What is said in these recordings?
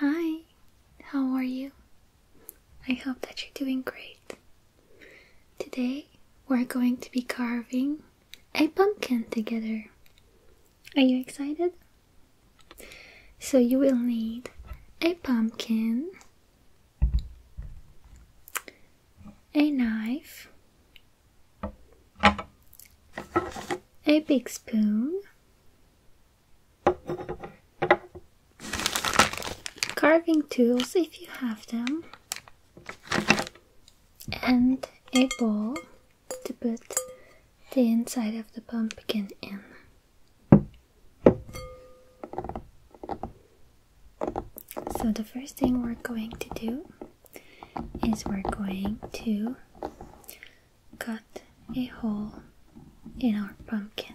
Hi, how are you? I hope that you're doing great. Today we're going to be carving a pumpkin together. Are you excited? So, you will need a pumpkin, a knife, a big spoon, carving tools if you have them, and a bowl to put the inside of the pumpkin in. So the first thing we're going to do is we're going to cut a hole in our pumpkin.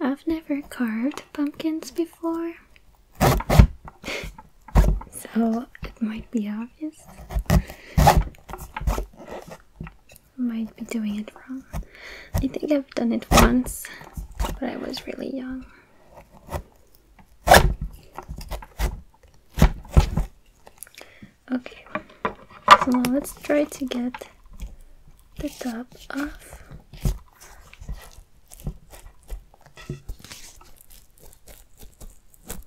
I've never carved pumpkins before so it might be obvious. Might be doing it wrong. I think I've done it once, but I was really young. Okay, so now let's try to get the top off.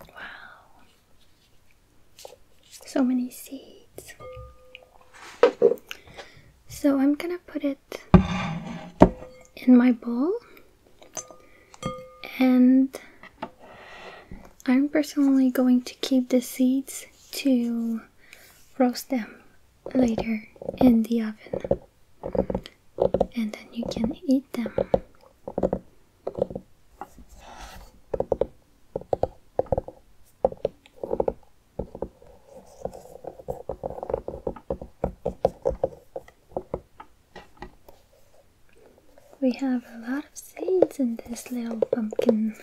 Wow. So many seeds. So I'm gonna put it in my bowl and I'm personally going to keep the seeds to roast them later in the oven and then you can eat them. We have a lot of seeds in this little pumpkin.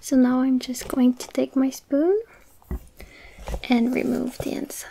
So now I'm just going to take my spoon and remove the inside.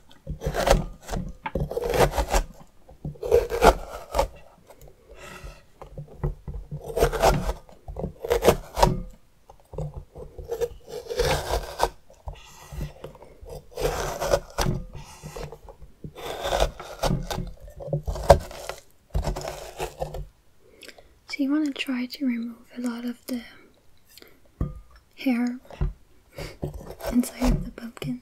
So you want to try to remove a lot of the hair inside of the pumpkin.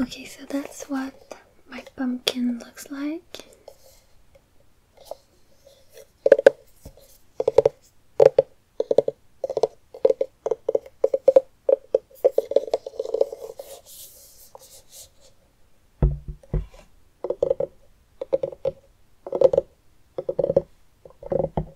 Okay, so that's what my pumpkin looks like.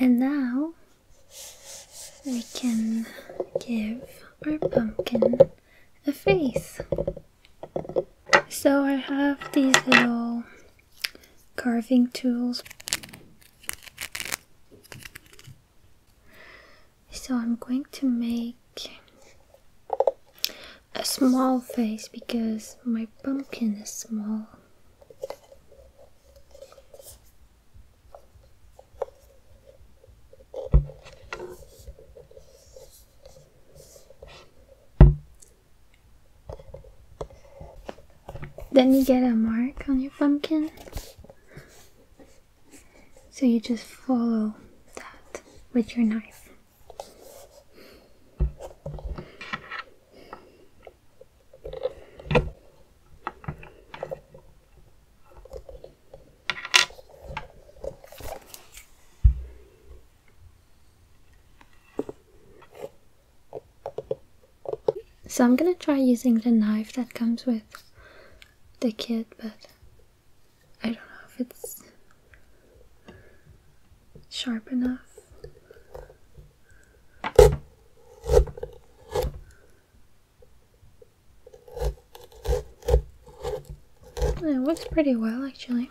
And now we can give or pumpkin a face. So I have these little carving tools. So I'm going to make a small face because my pumpkin is small. Then you get a mark on your pumpkin. So you just follow that with your knife. So I'm gonna try using the knife that comes with the kit, but I don't know if it's sharp enough. And it works pretty well actually.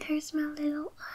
Here's my little eye.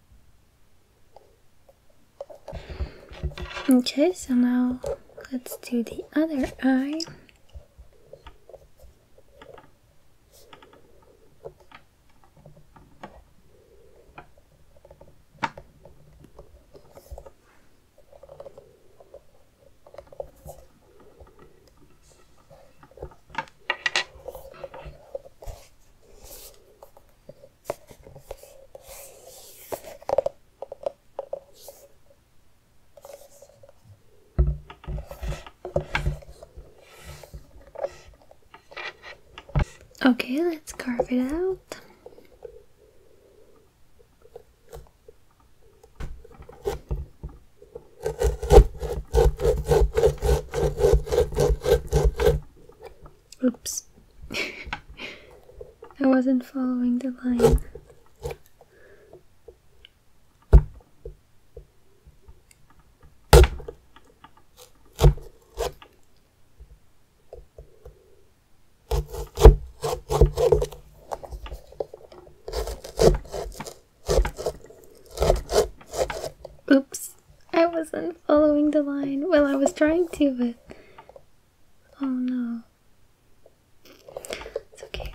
Okay, so now let's do the other eye. Okay, let's carve it out. Oops. I wasn't following the line. Oops, I wasn't following the line. Well, I was trying to, but. Oh no. It's okay.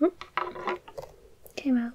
Oh, came out.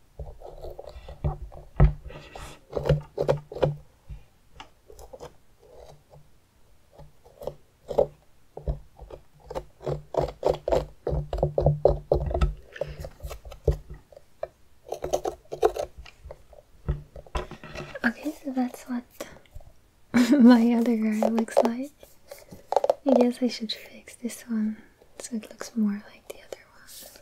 Okay, so that's what my other eye looks like. I guess I should fix this one so it looks more like the other one.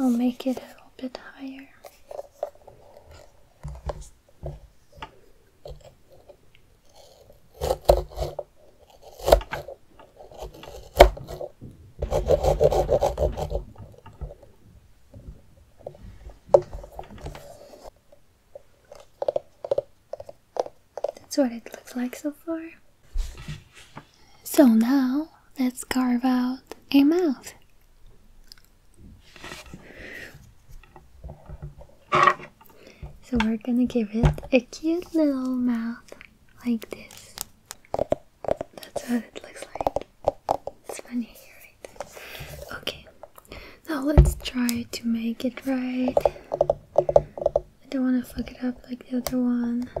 I'll make it a little bit higher. That's what it looks like so far. So now let's carve out a mouth. So we're gonna give it a cute little mouth like this. That's what it looks like. It's funny right? Okay, now let's try to make it right. I don't want to fuck it up like the other one.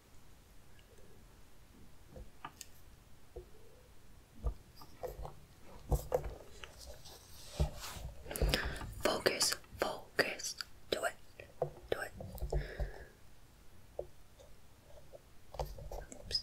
Focus, focus, do it, do it. Oops.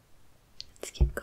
Let's keep going.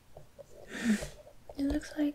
It looks like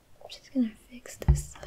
I'm just gonna fix this side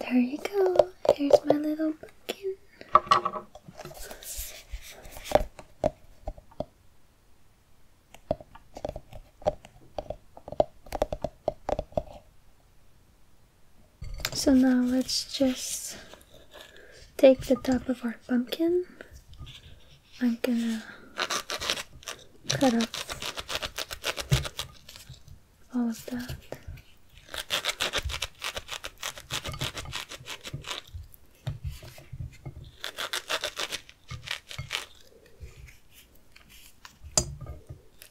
there you go. Here's my little pumpkin. So now let's just take the top of our pumpkin. I'm gonna cut off all of that.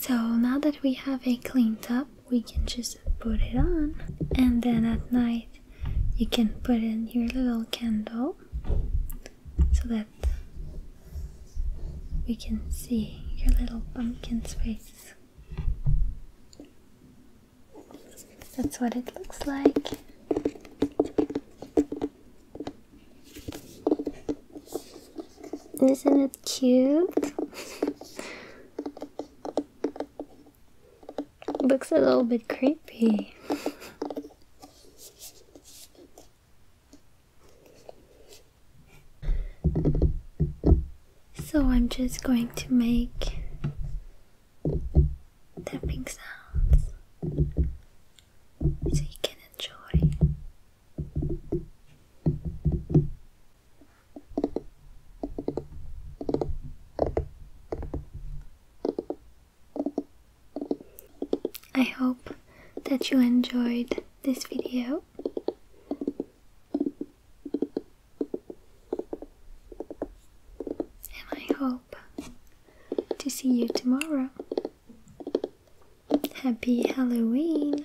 So now that we have it cleaned up, we can just put it on, and then at night you can put in your little candle so that we can see your little pumpkin's face. That's what it looks like. Isn't it cute? looks a little bit creepy. so I'm just going to make tapping sounds so you can enjoy. I hope that you enjoyed this video. And I hope to see you tomorrow. Happy Halloween!